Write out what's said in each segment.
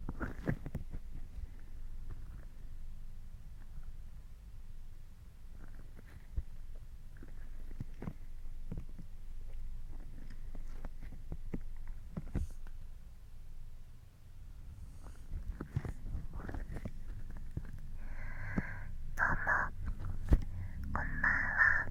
どうもこんばんは。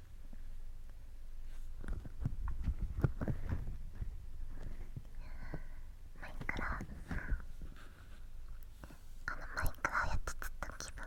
マイクラあのマイクラやってちょった。気分が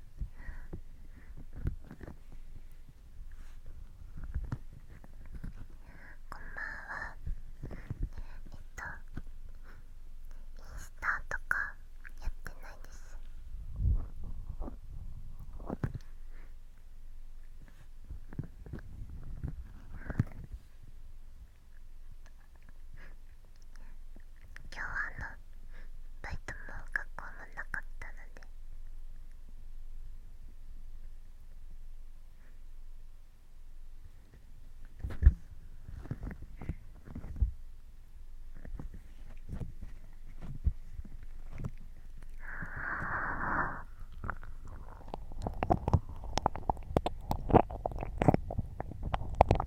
こんばんはえっとインスタとかやってないです今日はあのバイトも学校もなかったのであ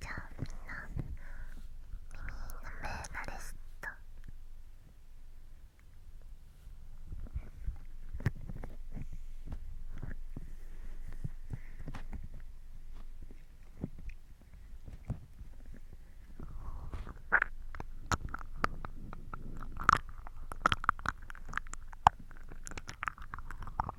じゃあみんな耳の目慣れした耳の目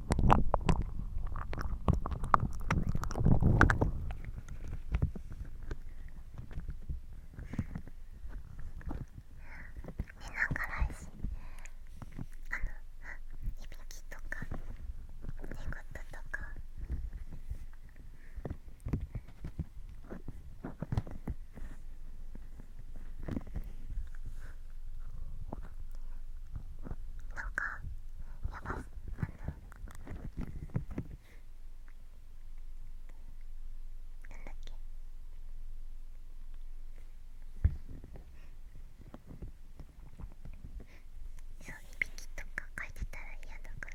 なんか来週あのいびきとか寝言とかなんかやばあのそういびきとか書いてたら嫌だから。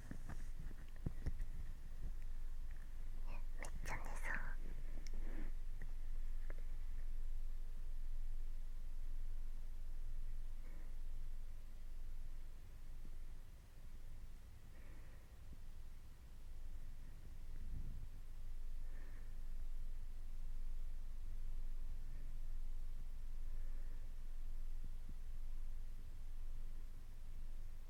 めっちゃ寝そう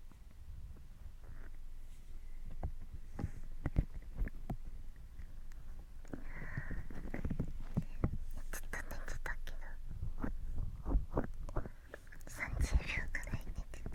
寝てたけど30秒くらい寝てた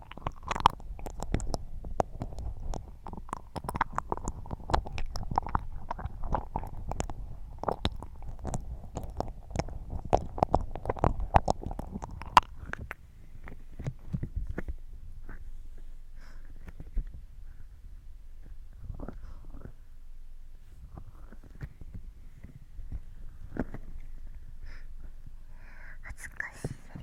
恥ずかしい。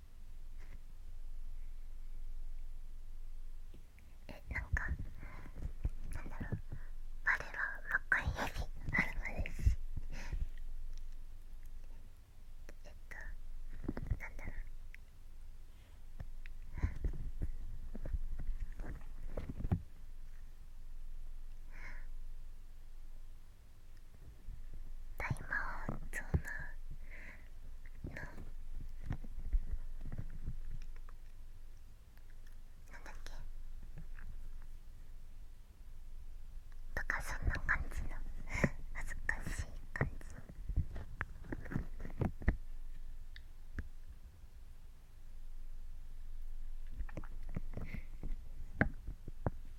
えなんかなんだろうあれは若いよりあるのですえっとなだろうなんだろう大魔王ゾーナのなんだっけとかそんな感じの恥ずかしい感じ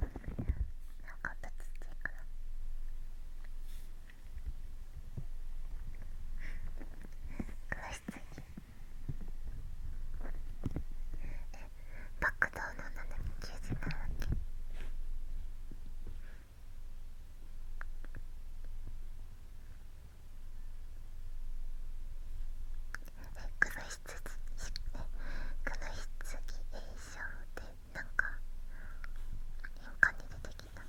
なんかぶつっていくな詳しすぎえバックドアの斜め90なわけえ崩しひつぎ、炎症でなんか変化に出てきた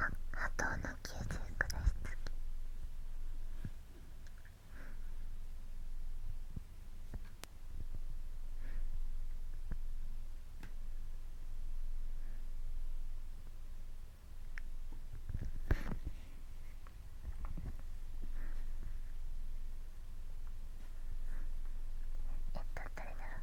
はあとの吸収くらい好き。えっと誰だろう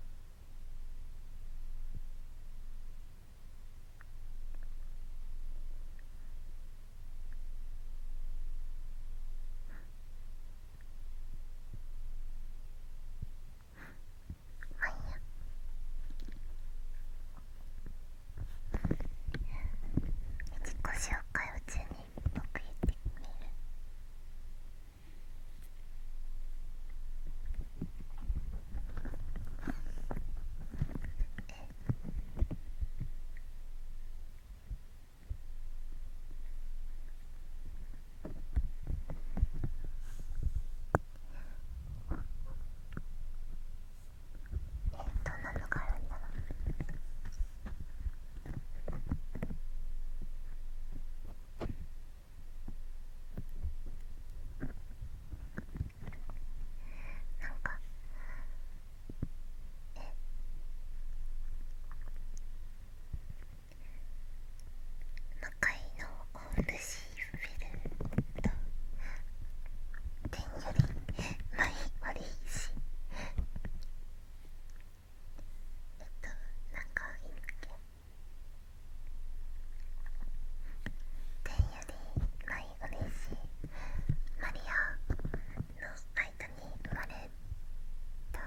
自己紹介を中に僕言ってみるえっどんなのがあるんだなんかえ魔界のオルシーフェルトんより前悪いしえっとなかいいんだっけ天より前い嬉しいマリアの間に生まれた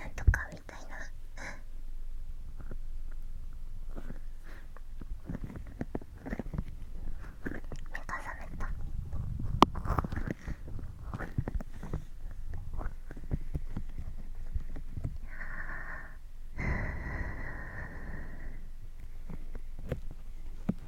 なんとかみたいな目が覚めたあ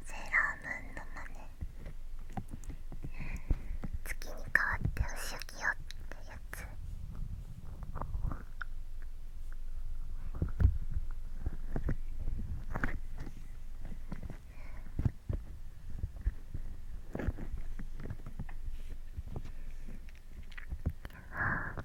セーラームーンのまね。月に変わってお仕置きよってやつああ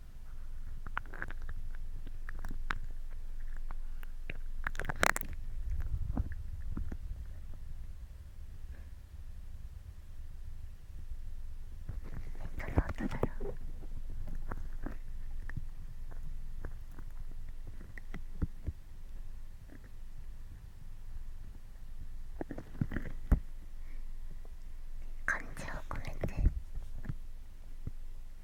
音だろう。感情を込めて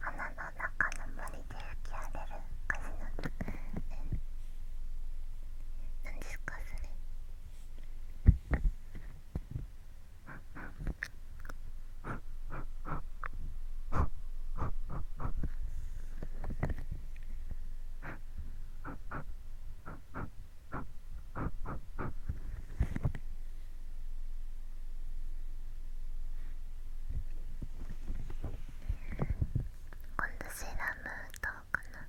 鼻の中の森で吹き荒れる風のえ何ですかそれあ今度セーラームーン歌うかな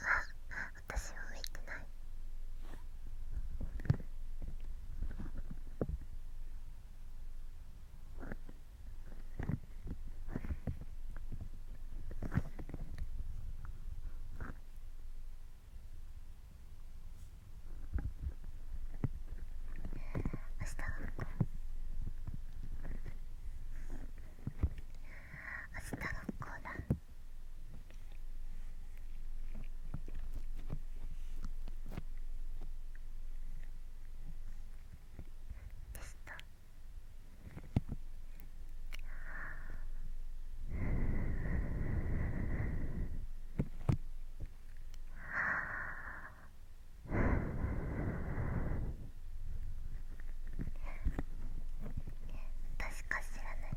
あ、私は浮いてない明日は明日学校だでテスはあ確か知らない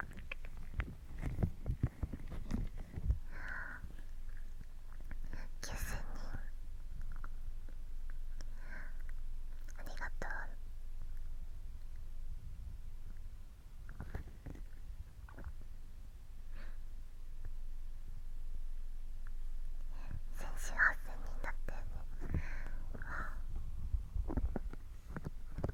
ああ。キス人。ありがとう先週8000人だったよねああ。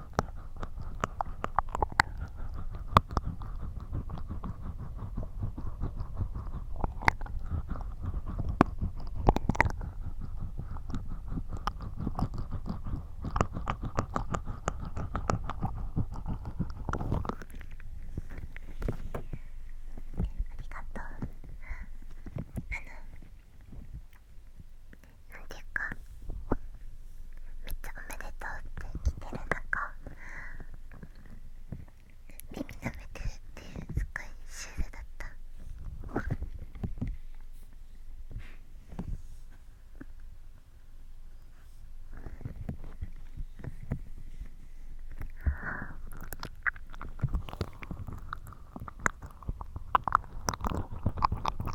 あのなんていうかめっちゃおめでとうって来てる中耳舐めてるっていうすごいシュールだった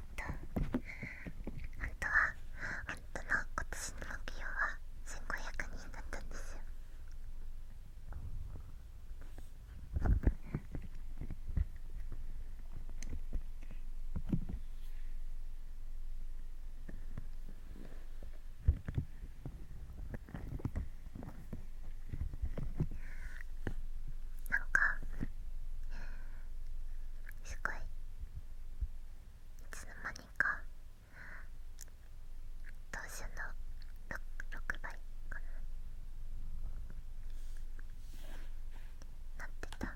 と本当は本当の今年の目標は1500人だったんですよなんかすごいいつの間にか当初の 6, 倍かななってた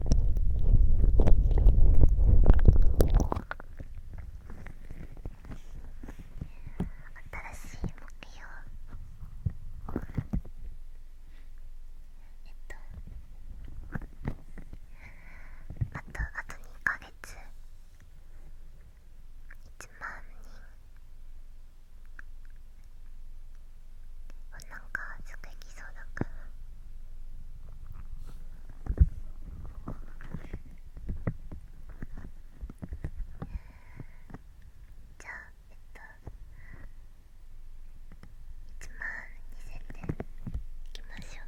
新しい目標えっとあとあと2ヶ月1万人なんかすぐ行きそうだからじゃあえっと1万2000点いきましょう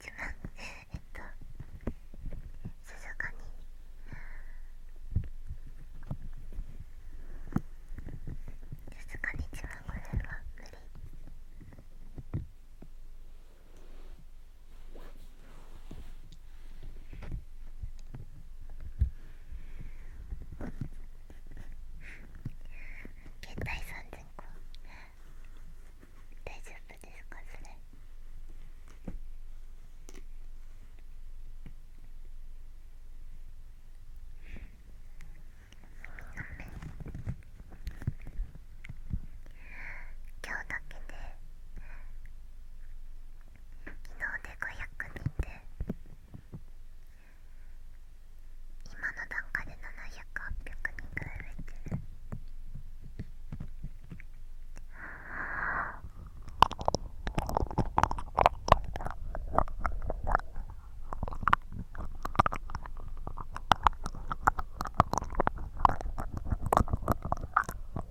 一番えっと静かに静かに一番これは無理。携帯3 0個大丈夫ですかそれ今日だけで、昨日で500人で今の段階で700800人ぐらい増えてる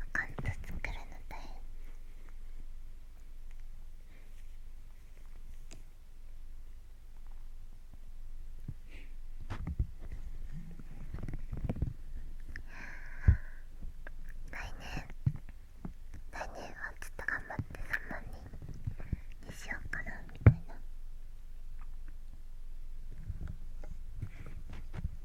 アカウとト作るの大変来年来年はちょっと頑張って3万人にしようかなみたいな。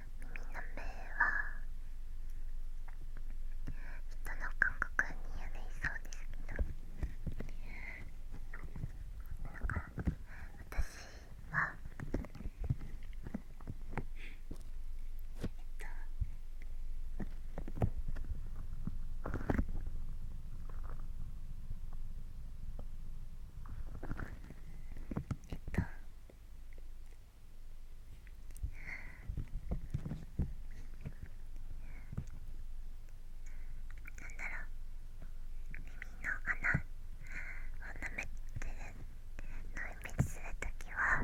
耳の目は人の感覚にやいそうですけどなんか私はえっとえっとなんだろう耳の穴を舐めてるのをイメするときは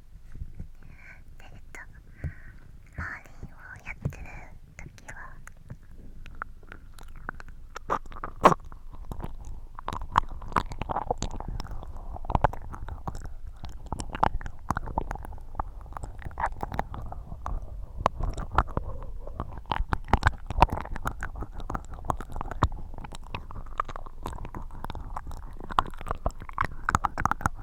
えっとマーリンをやってる時は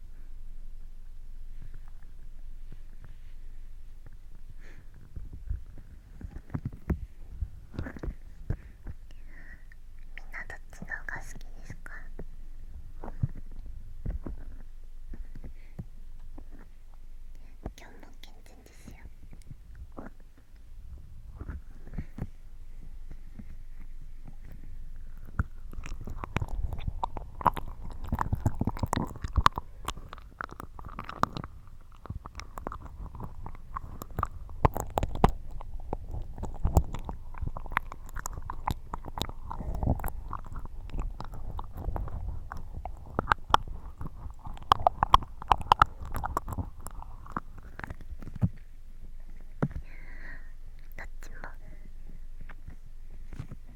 みんなどっちの方が好きですか今日も健全ですよどっちも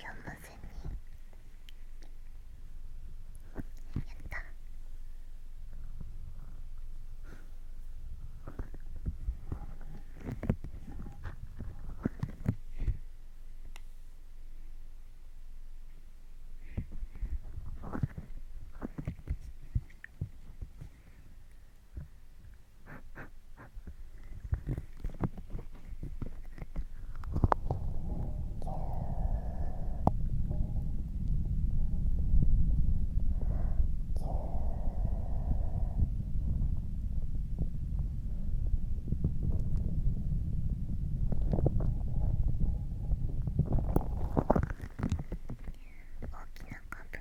今日もずにやった大きな株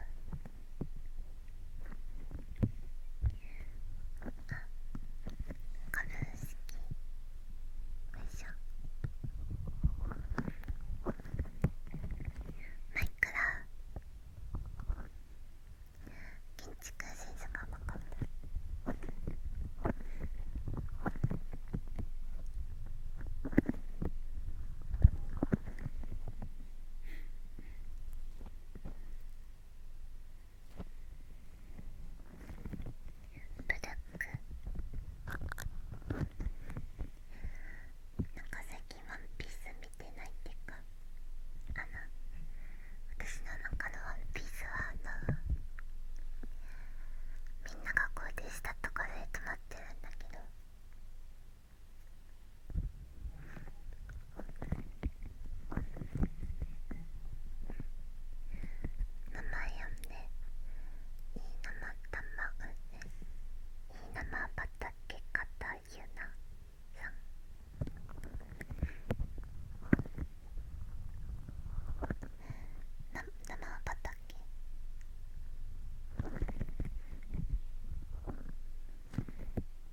カルー式よいしょマイクラ建築センスが分かったブラックなんか最近ワンピース見てないっていうかあの私の中のワンピースはあのみんながこうでしたとかで止まってるんだけど名前呼んでいい生卵ねいい生畑たゆなさんな生畑生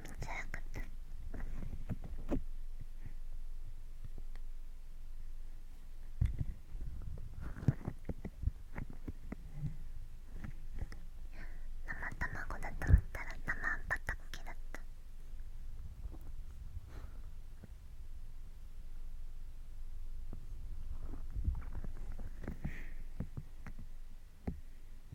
づらかった生卵だと思ったら生あんぱたっけだった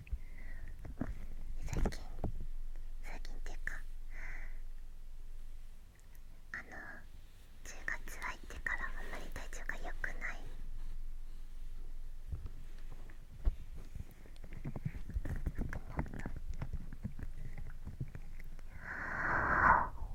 最近最近っていうかあの10月入ってからあんまり体調が良くないはあ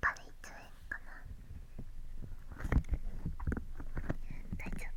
ぱり1円かな大丈夫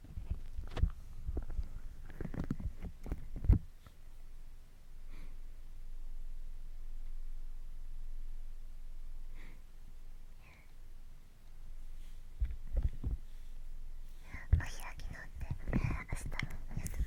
もう開き直って明日のやつも。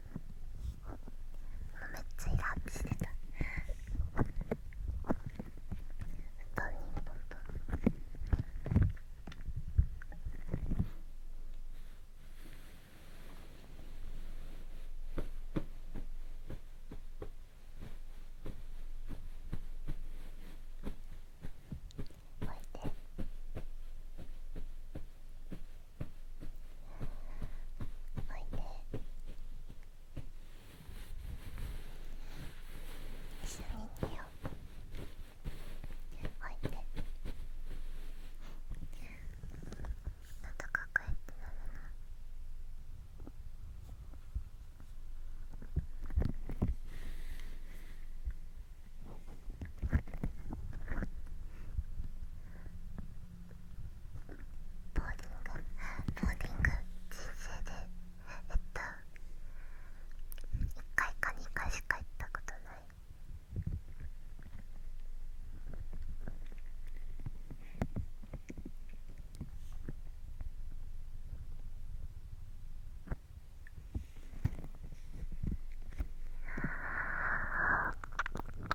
めっちゃイラッとしてた布団にポン置いて。おいで一緒に寝ようおいでなんかかえってなるなおボーリングボーリング人生でえっと1回か2回しか行ったことないああ。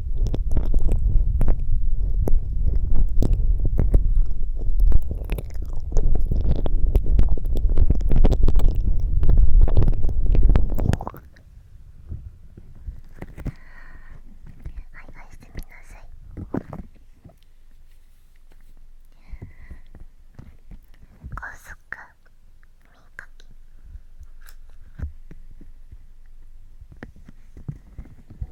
ははい、い、してみなさい。高速耳かき。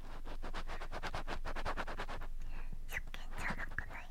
初見じゃなくない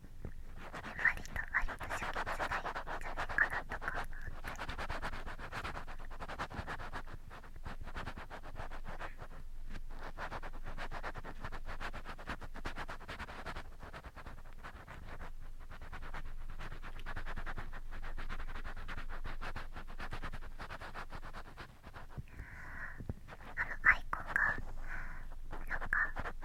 割と割と初期つらいんじゃないかなとかあのアイコンがなんか。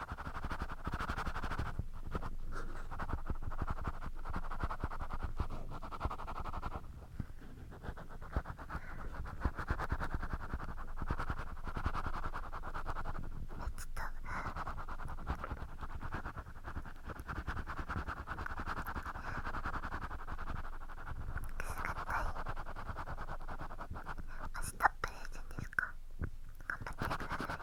明日プレゼンですか頑張ってください。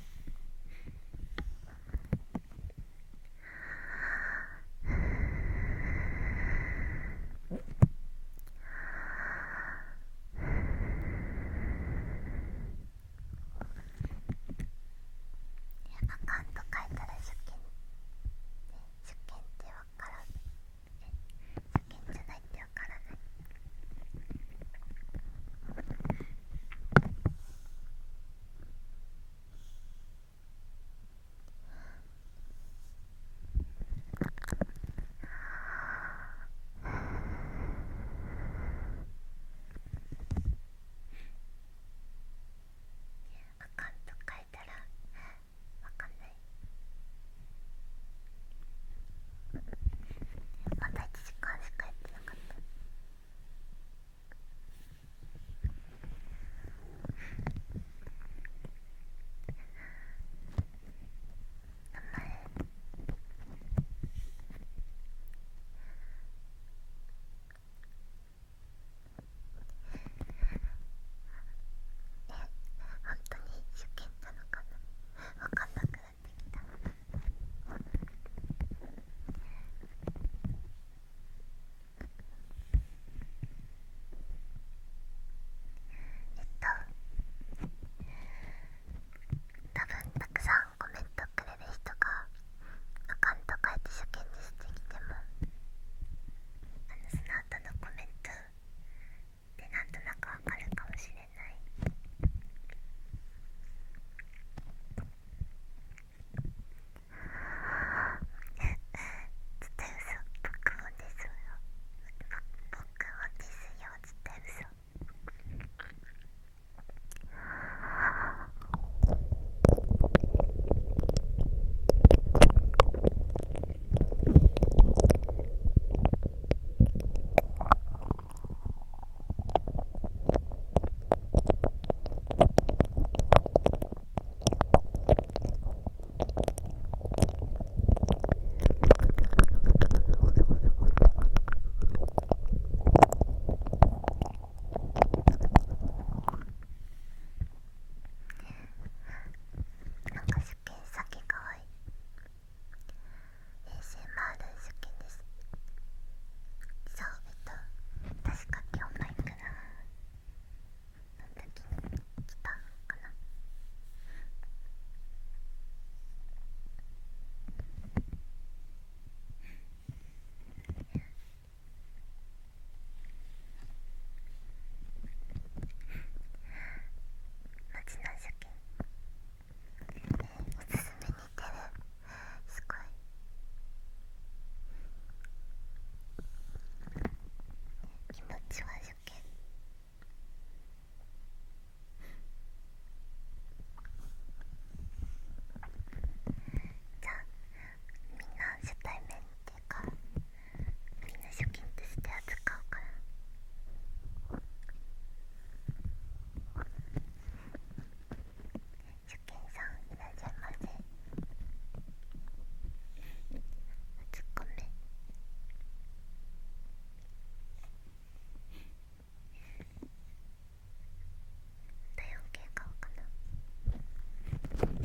あかんと書いたら出勤、ね、出勤って分からん、ね、出勤じゃないって分わからないあかんと書いたらわかんない。まだ1時間しかやってなかった頑張れえ本当に受験なのかな分かんなくた。えっ多分たくさんコメントくれる人がアカウント変えて初見にしてきてもあのその後のコメントでなんとなくわかるかもしれない。れない絶対嘘僕をですよ僕もですよ絶対嘘なんかすっげえさっきかわいい衛 ASMR 好きですそうえっと確か今日前からの時に来たかな街の初見おすすめにてるすごい気持ちは初見じゃあみんな初対面っていうかみんな初見として扱うから。初見さんいらっしゃいませツッコミ体温計買おうかな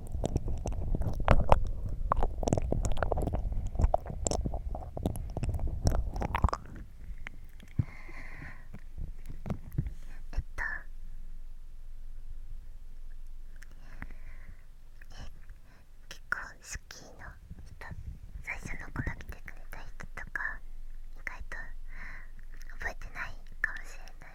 えっとえ結構好きの人最初の頃来てくれた人とか意外と覚えてないかもしれない。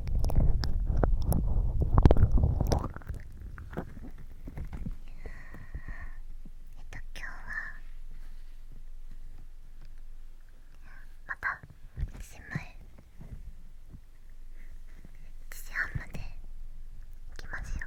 えっと、今日はまた1時前1時半まで行きますよ。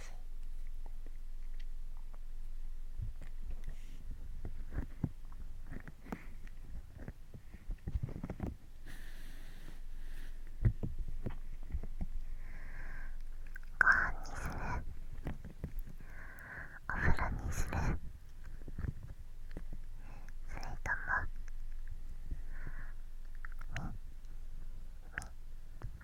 ますご飯にするお風呂にするそれとも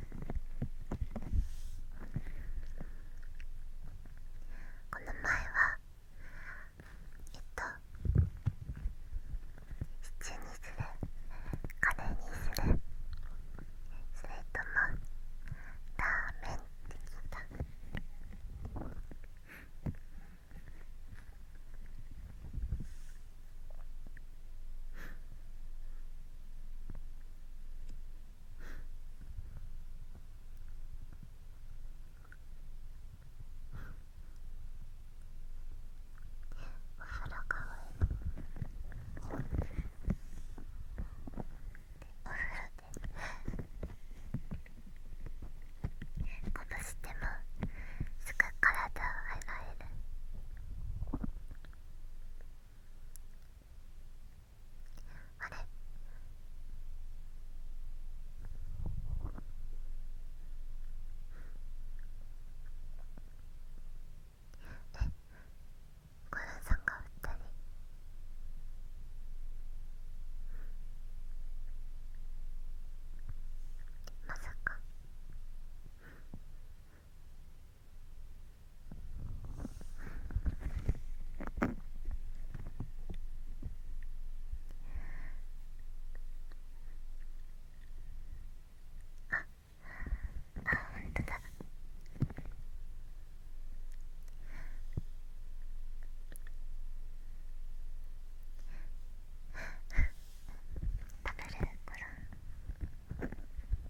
この前はえっとシチューにするカレーにするそれともラーメンって聞いた腹かお風呂でこぶしてもすぐ体を洗えるあれえごナンさんが撃ったねまさか。あっほんとだ食べれるから。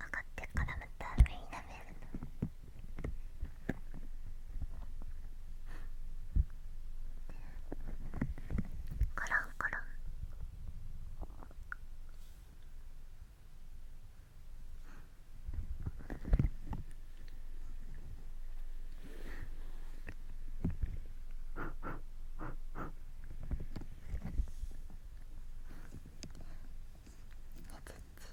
上がってからまた目になめるのコロンコロンねつっち。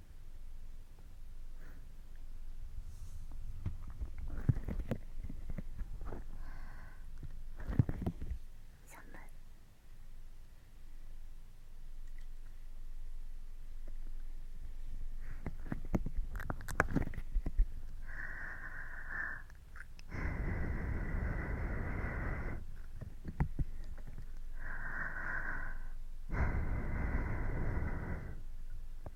寒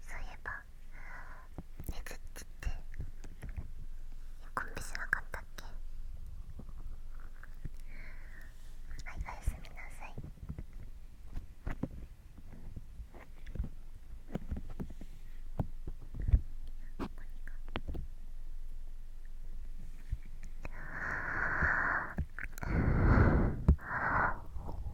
そういえば熱ってコンビしなかったっけはいおやすみなさいあ。あ。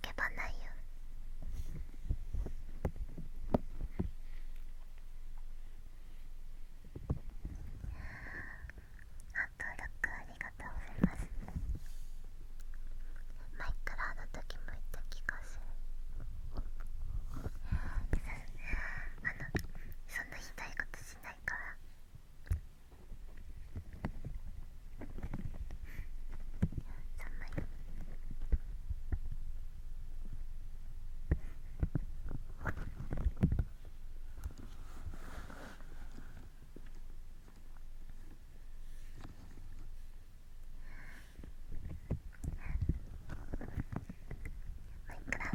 叫ばないよあ登録ありがとうございますマイクラの時も言った気がするあのそんなひどいことしないからマイクラの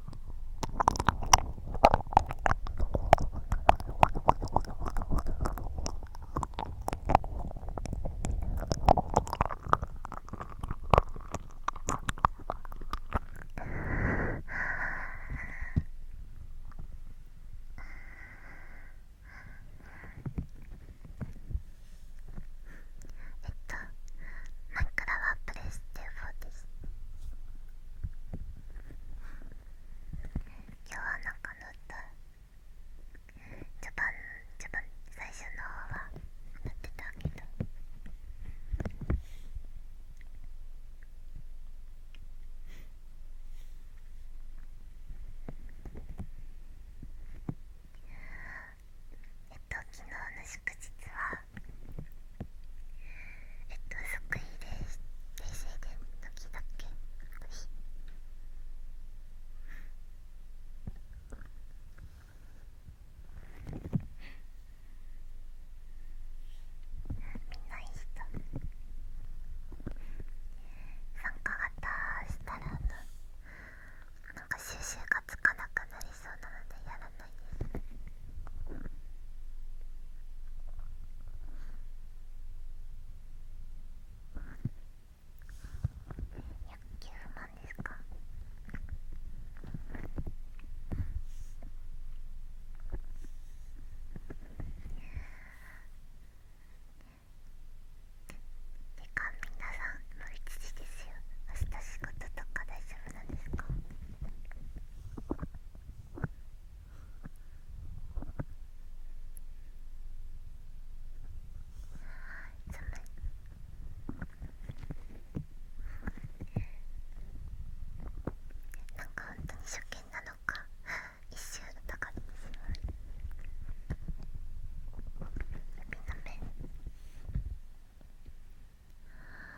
えっとマイクラはプレステフォーです。今日はなんか乗った序盤序盤最初の方は乗ってたけどえっと昨日の祝日はえっとそっくりで冷静でのきだけ私みんないい人参加型したらななんか収集がつかなくなりそうなのでやらないです109万ですかてか皆さんもう1時ですよ明日仕事とか大丈夫なんですかなんか本当に初見なのか一周疑ってしまう指の目。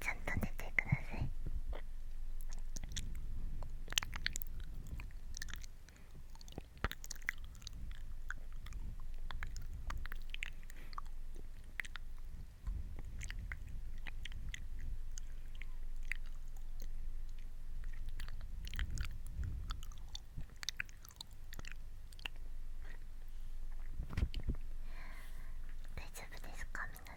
ちゃんと寝てください丈夫ですか皆さん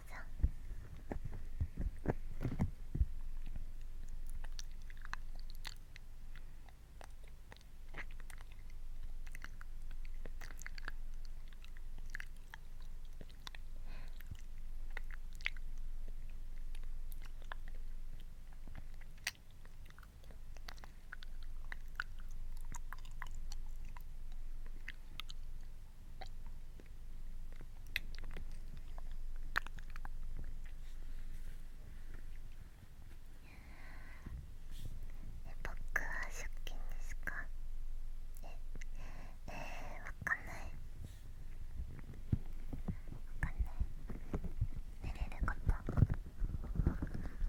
え僕は借金ですかええわかんないわかんない寝れること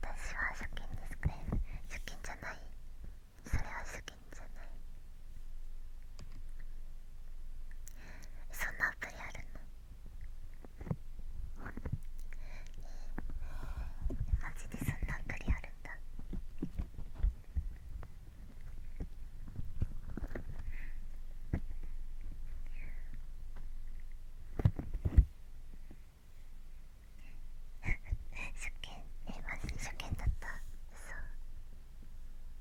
私は初見ですか初見じゃないそれは初見じゃないそんなアプリあるのえマジでそんなアプリあるんだ 初見えマジで初見だった嘘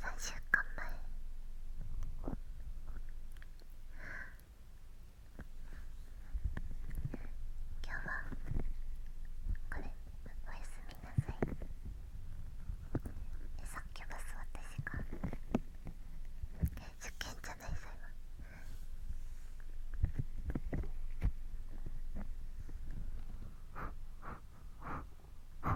3週間前今日はこれおやすみなさいえさっきバス私が受験じゃないさ今は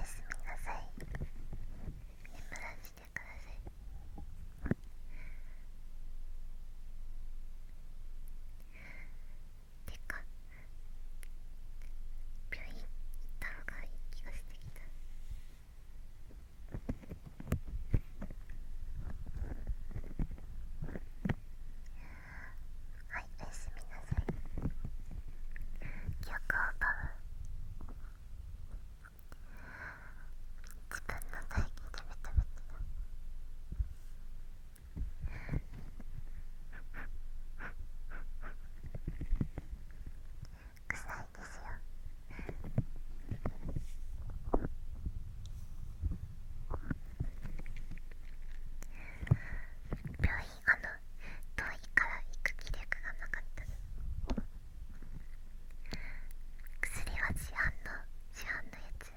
いすみなさい眠らせてくださいてか病院行った方がいい気がしてきたはいおやすみなさい記憶を奪う自分の唾液でベタベタ臭いですよ。病院あの遠いから行く気力がなかった薬は市販の市販のやつ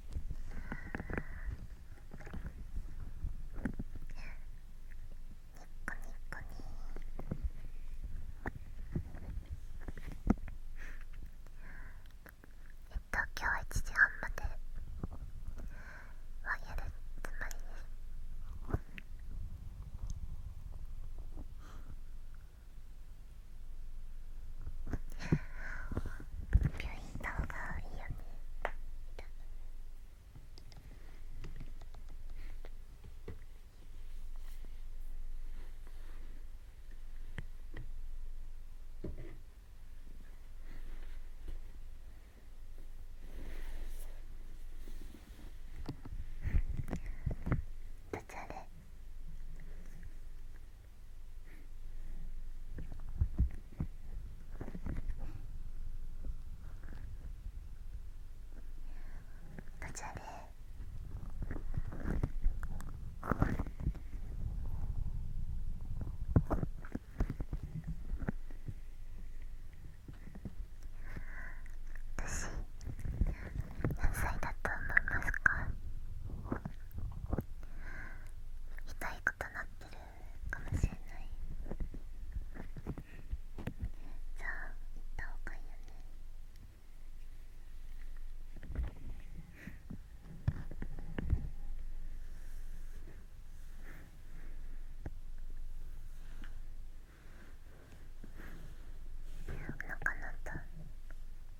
ニニッッココえっと今日は1時半まではやるつまりです。病院行方がいいよねどちらで途中で私何歳だと思いますか痛いことなってるかもしれないじゃあ行った方がいいよねおかなっ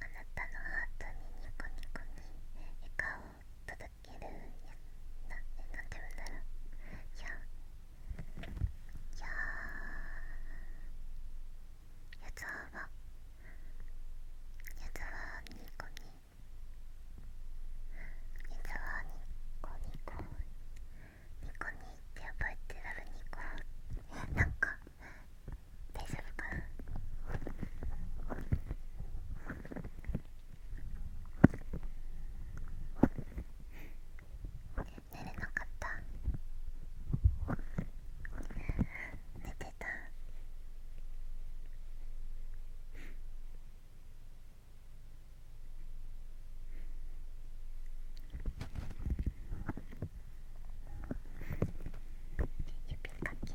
あなたのハートにニコニコに笑顔を届けるやなんて言うなら、ろういやいややはやつはニコやつはニコニコニコニって覚えてるニコなんか大丈夫かな寝れなかった寝てた指かき。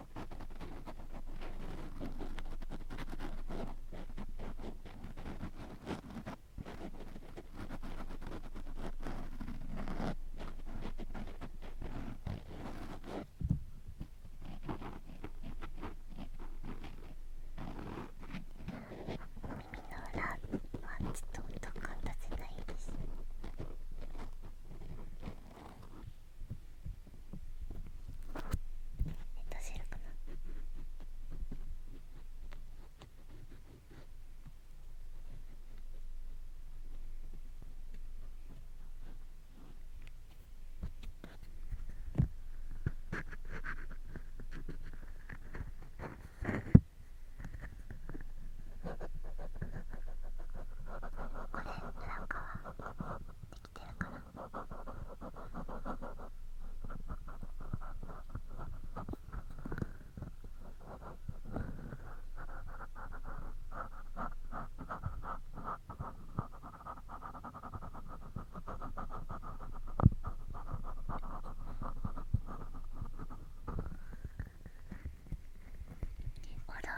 の裏はちょっと音感出せないです。出せるかなこれなんかおら。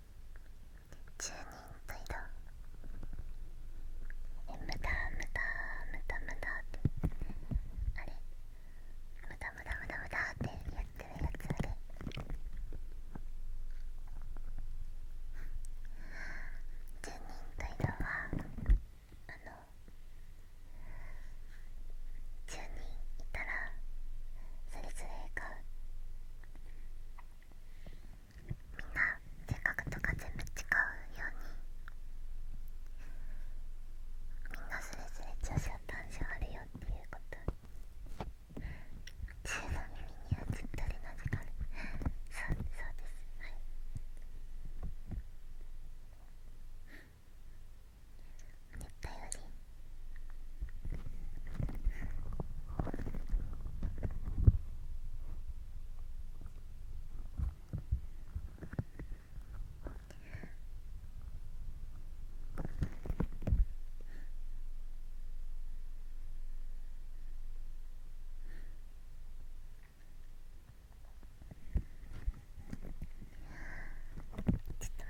10人と移動え無駄無駄無駄無駄ってあれ無駄無駄無駄無駄ってやってるやつあれ10人と移動はあの10人いたらそれぞれがみんな性格とか全部違うようにみんなそれぞれ長所短所あるよっていうこと自由の耳にはったりな時間そうそうですはい言ったよりちょっと待ってね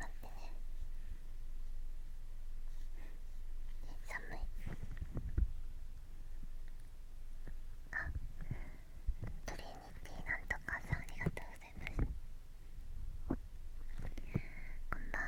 寒いあトリニティなんとかさんありがとうございますこんばんは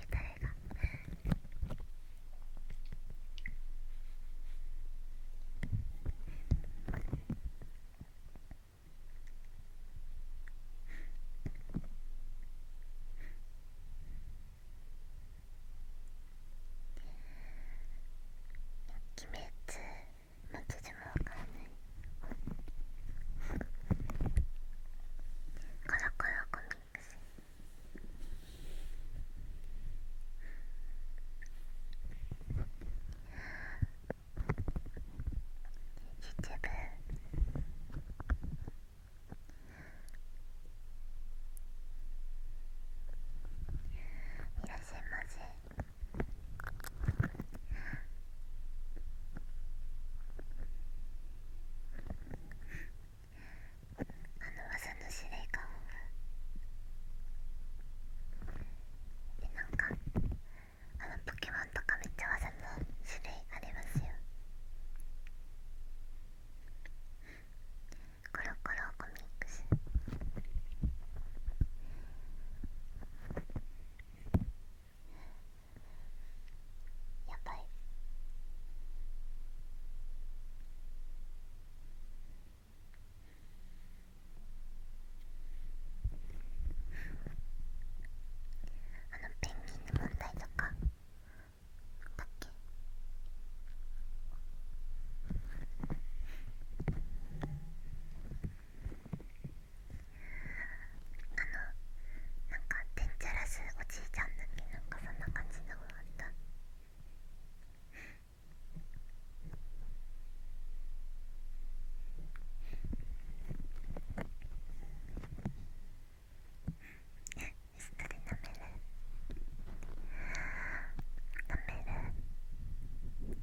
ゆたれが鬼滅マジでもわからないコロコロコミックス秩父いらっしゃいませあの技の司令官でなんかあのポケモンとかめっちゃ技の種類ありますよコロコロコミックスあやばいあのペンギンの問題とかだっけあのなんかデンジャラスおじいちゃんのっなんかそんな感じのあったえしっとりなめるなめる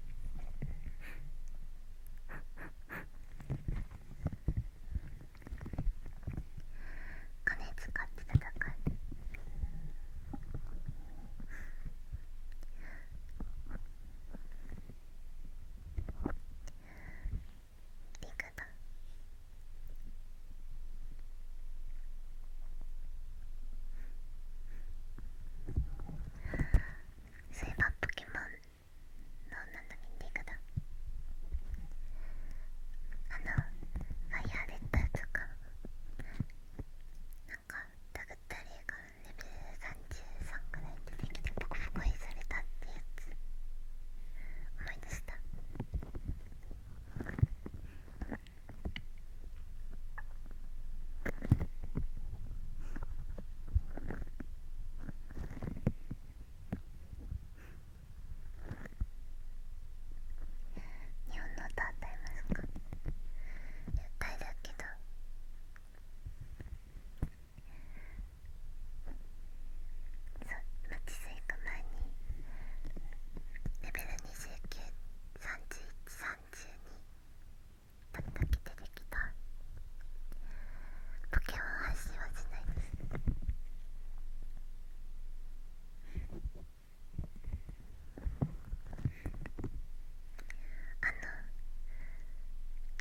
金使って戦ういくと。そういえばポケモンの何の認定かだあのファイヤーレッダーとかなんかダグったりがレベル33くらい出てきてボコボコにされたってやつ思い出した日本の歌歌いますか歌いだけどそう待ちスいた前にレベル293132時出てきたポケモ発信はしないですあの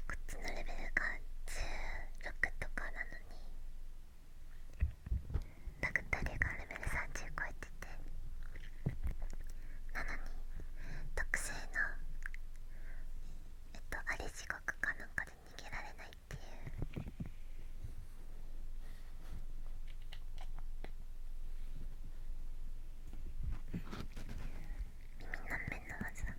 こっちのレベルが16とかなのにラグタリがレベル30超えて。なのに特製のえっとあれ地獄かなんかで逃げられないっていう耳の面の技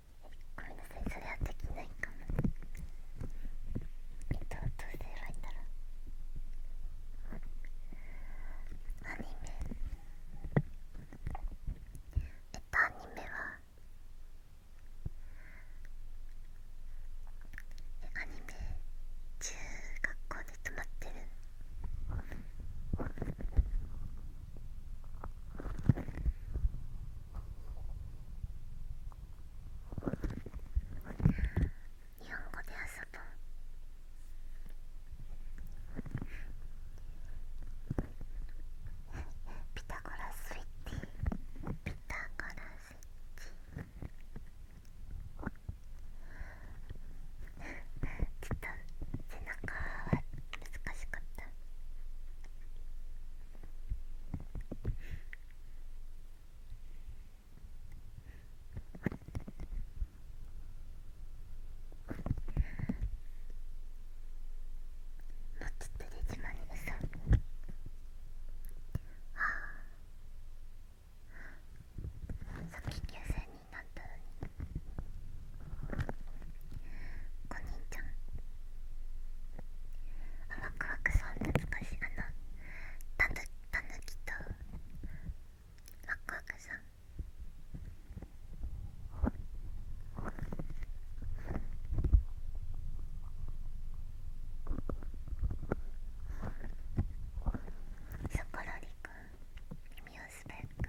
ごめんなさいそれはできないかもえっとどうすればいいんだろうアニメえっとアニメはえアニメ中学校で止まってるえっ日本語で遊ぼうピタゴラスイッチピタゴラスイッチちょっと背中は難しかった。もつってでじまにうさみはあさっき9000になったのにお兄ちゃんあワクワクさん懐かしいあのたぬたぬきとワクワクさんそこらりくん耳をースペック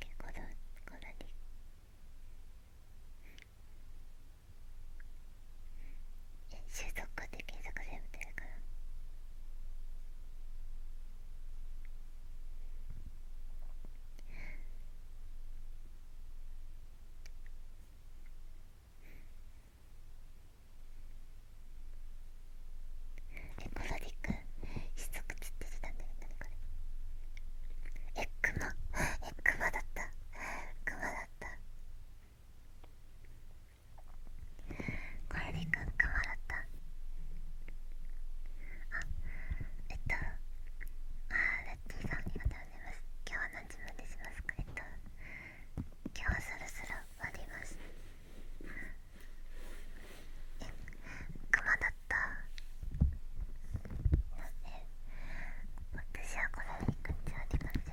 結構だこんなにえ収束って検索するみたいからえコロリィックしつく切って出たんだよねこれえクマえクマだったクマだったこれでくんクマだったあえっとあラッキーさんありがとうございます今日は何時までしますかえっと今日はそろそろ終わりますクマだったなん私はこのに感じありませんえ、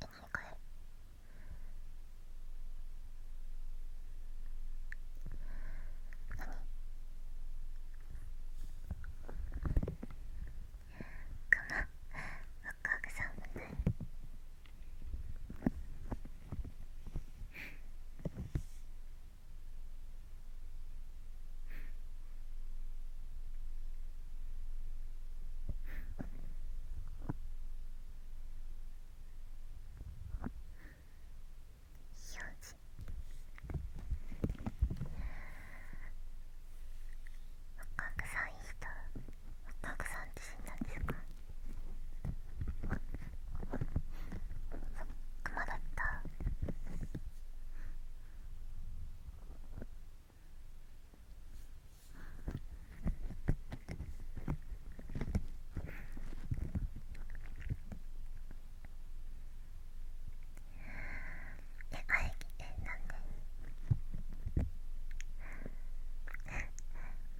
何これ何クマワクワクさん分ね。わかんない人。たくさん自身なんですかクったえあええなんで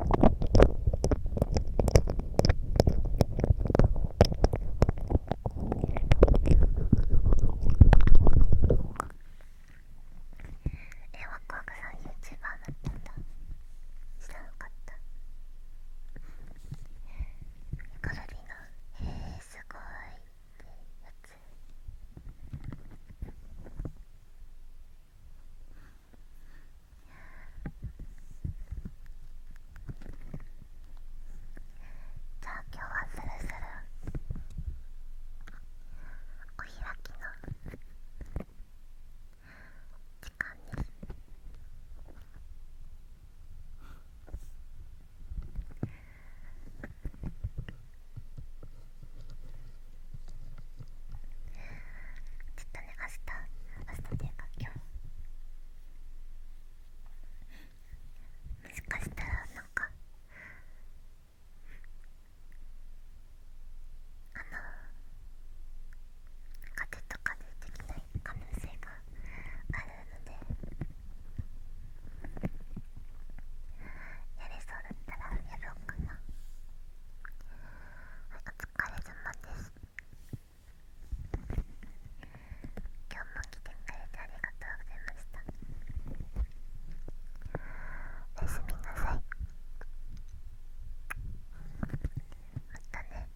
えワクワクさん YouTuber だったんだ知らなかったカルビーのへえすごいってやつじゃあ今日はスルスルお開きの時間にちょっとね明日明日でていか今日もしかしたらなんかあの風とかでできない可能性があるのでやれそうだったらやろうかな。お疲れ様です今日も来てくれてありがとうございましたおやすみなさいまたね